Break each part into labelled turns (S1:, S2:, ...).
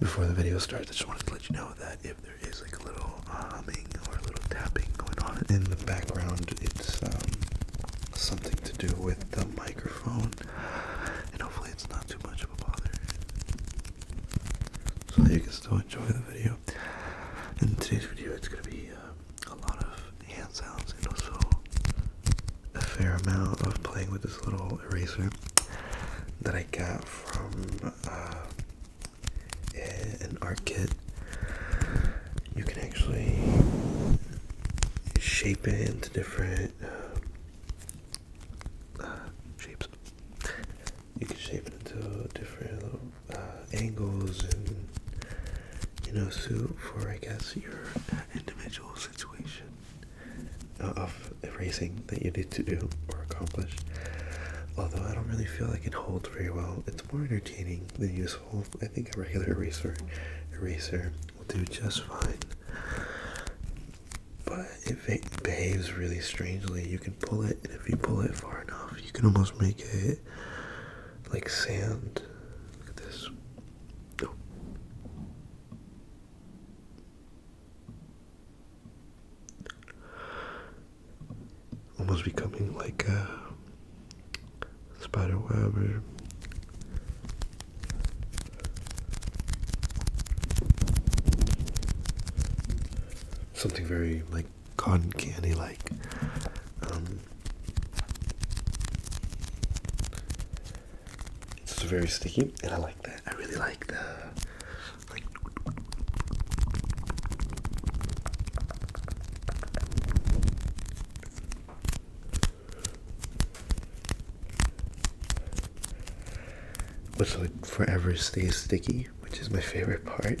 S1: Before the video starts, I just wanted to let you know that if there is like a little humming or a little tapping going on in the background, it's um, something to do with the microphone, and hopefully it's not too much of a bother. So you can still enjoy the video. In today's video, it's going to be uh, a lot of hand sounds and also a fair amount of playing with this little eraser that I. I got from uh, an art kit. You can actually shape it into different uh, uh, shapes. You can shape it into different angles and you know, suit for I guess your individual situation. Uh, of erasing that you need to do or accomplish. Although I don't really feel like it holds very well, it's more entertaining than useful. I think a regular eraser will do just fine. But if it behaves really strangely, you can pull it, and if you pull it far enough, you can almost make it like sand. Look at this. Almost becoming like a spider web or something very like cotton candy like um, it's very sticky, and I like that. I really like the like. But so forever stay sticky, which is my favorite part.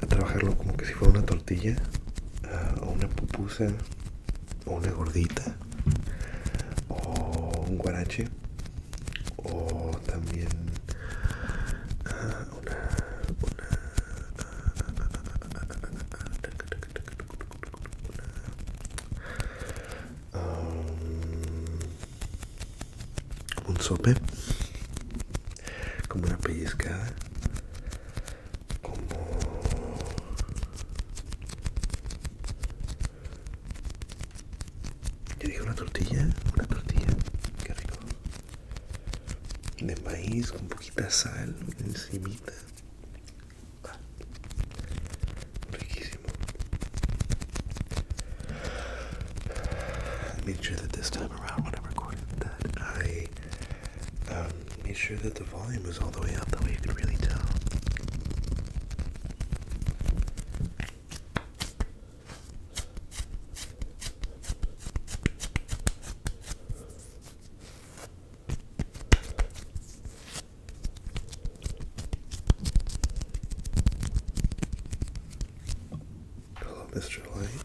S1: a trabajarlo como que si fuera una tortilla ah, o una pupusa o una gordita o un guarache o también ah, ah, um, un sope como una pellizcada como ¿Qué dije una tortilla una tortilla qué rico de maíz con poquita sal encimita ah, riquísimo make sure that this time around when I'm that I Um, Make sure that the volume is all the way up, that way you can really tell. Hello, Mr. Light.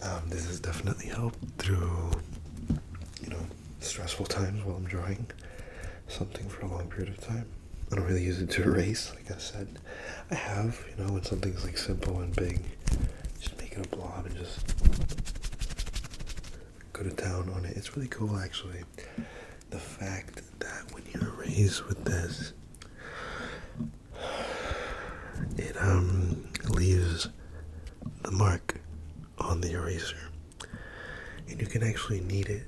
S1: Um, this has definitely helped through, you know, stressful times while I'm drawing something for a long period of time. I don't really use it to erase, like I said. I have, you know, when something's like simple and big, just make it a blob and just go to town on it. It's really cool, actually. The fact that when you erase with this, it um leaves the mark on the eraser, and you can actually knead it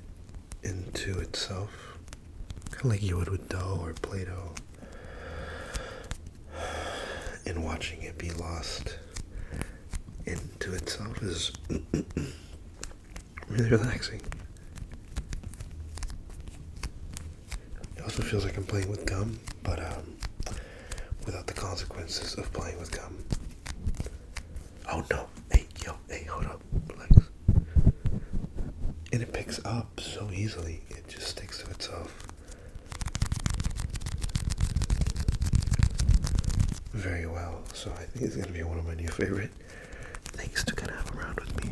S1: into itself kind of like you would with dough or Play-Doh, and watching it be lost into itself is really relaxing. It also feels like I'm playing with gum, but um, without the consequences of playing with gum. Oh no! Hey, yo! Hey, hold up! Relax and it picks up so easily it just sticks to itself very well so i think it's going to be one of my new favorite things to kind of have around with me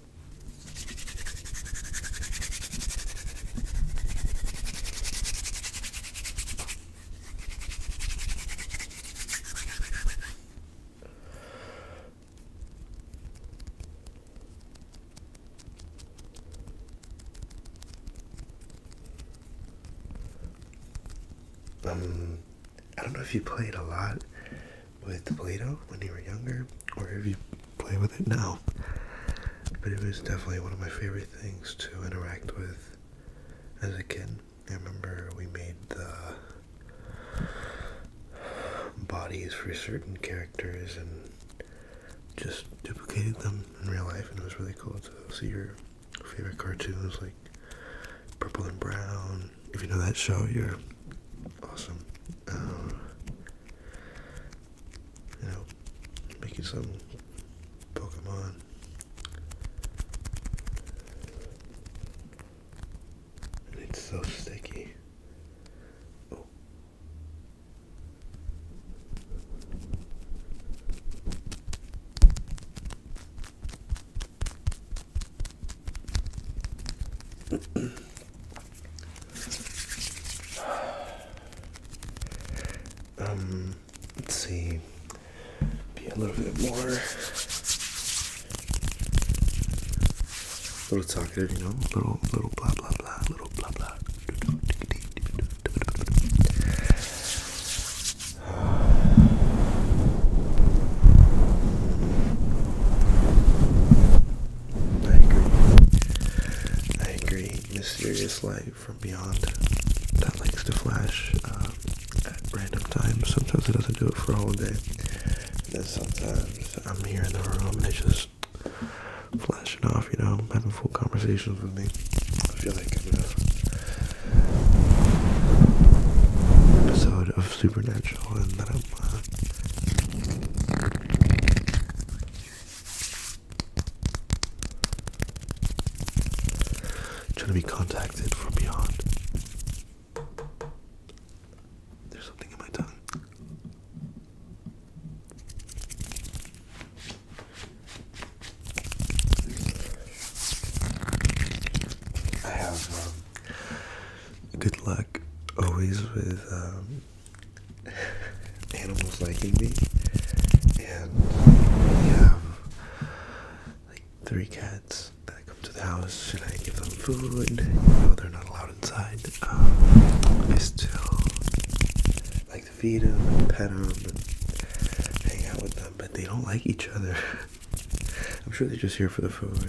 S1: Um, I don't know if you played a lot with Play-Doh when you were younger, or have you play with it now. But it was definitely one of my favorite things to interact with as a kid. I remember we made the bodies for certain characters and just duplicated them in real life, and it was really cool to see your favorite cartoons like Purple and Brown. If you know that show, you're awesome. Um, you know, making some Pokemon. it's so sticky. Oh. Um, let's see. Be a little bit more. A little talkative, you know. Little, little blah blah blah. Little blah blah. I agree. I agree. Mysterious light from beyond that likes to flash uh, at random times. Sometimes it doesn't do it for a whole day. And then sometimes I'm here in the room and it's just flashing off, you know, having full conversations with me. I feel like I'm in an episode of Supernatural and that Trying to be contacted from beyond. There's something in my tongue. I have um, good luck always with um, animals liking me, and we have like three cats that come to the house, and I give them food. You they're not allowed inside. Um, I still like to feed them, pet them, hang out with them, but they don't like each other. I'm sure they're just here for the food.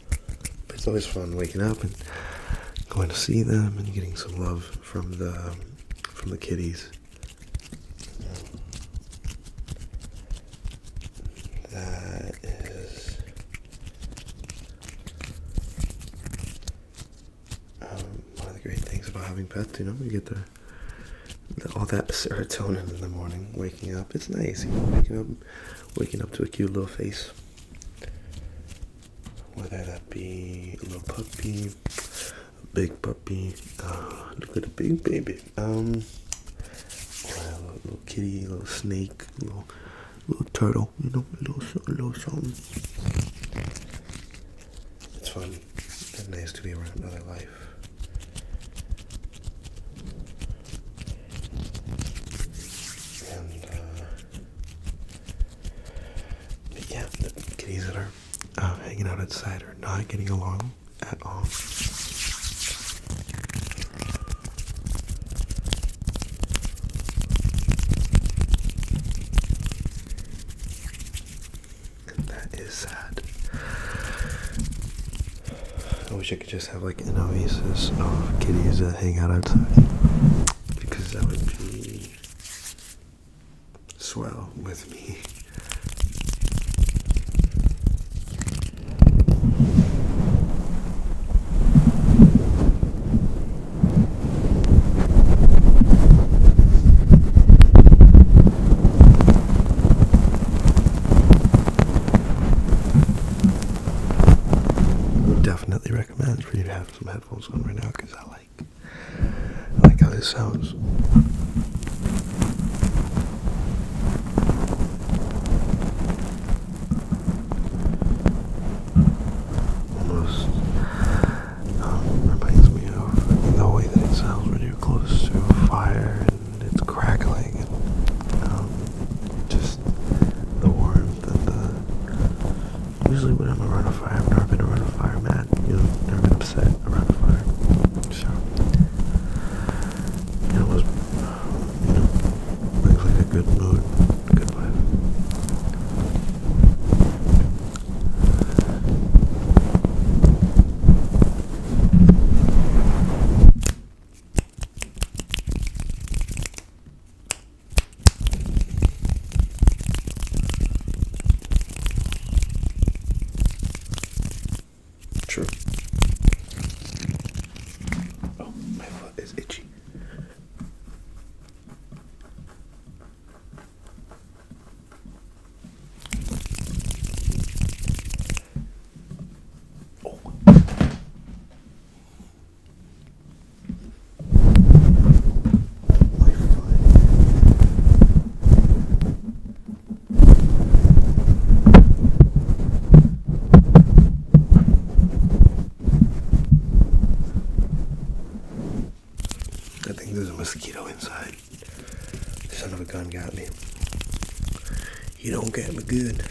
S1: it's always fun waking up and going to see them and getting some love from the from the kitties. That is um, one of the great things about having pets. You know, you get the, all that serotonin in the morning, waking up. It's nice, you know, waking up to a cute little face. Whether that be a little puppy, a big puppy, uh, look at a big baby, um, a little, kitty, a little snake, a little, turtle, you know, little, little something. It's fun and nice to be around another life. Uh, but yeah, the kitties that are uh, hanging out outside are not getting along at all. that is sad. I wish I could just have like an oasis of kitties that hang out outside because that would be swell with me. Definitely recommend for you some headphones on right now because I like I like how this sounds. Almost um, reminds me of the way that it sounds when you're close to fire and it's crackling and um, just the warmth and the. Usually, when I'm around a fire, I've never been around a fire man. You have never been upset around a fire. So, it was, you know, brings like a good mood, a good life. True. Oh, my foot is itchy. Oh. I think there's a mosquito inside. Son of a gun got me. You don't get me good.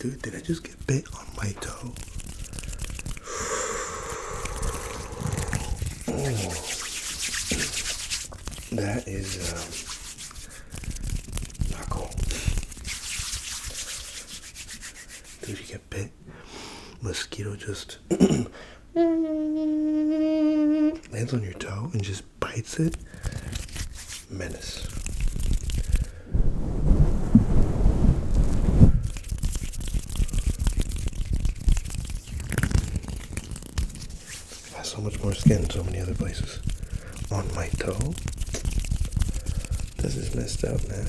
S1: Dude, did I just get bit on my toe? that is um, not cool. Dude, you get bit. Mosquito just lands on your toe and just bites it menace. I have so much more skin so many other places. On my toe? This is messed up, man.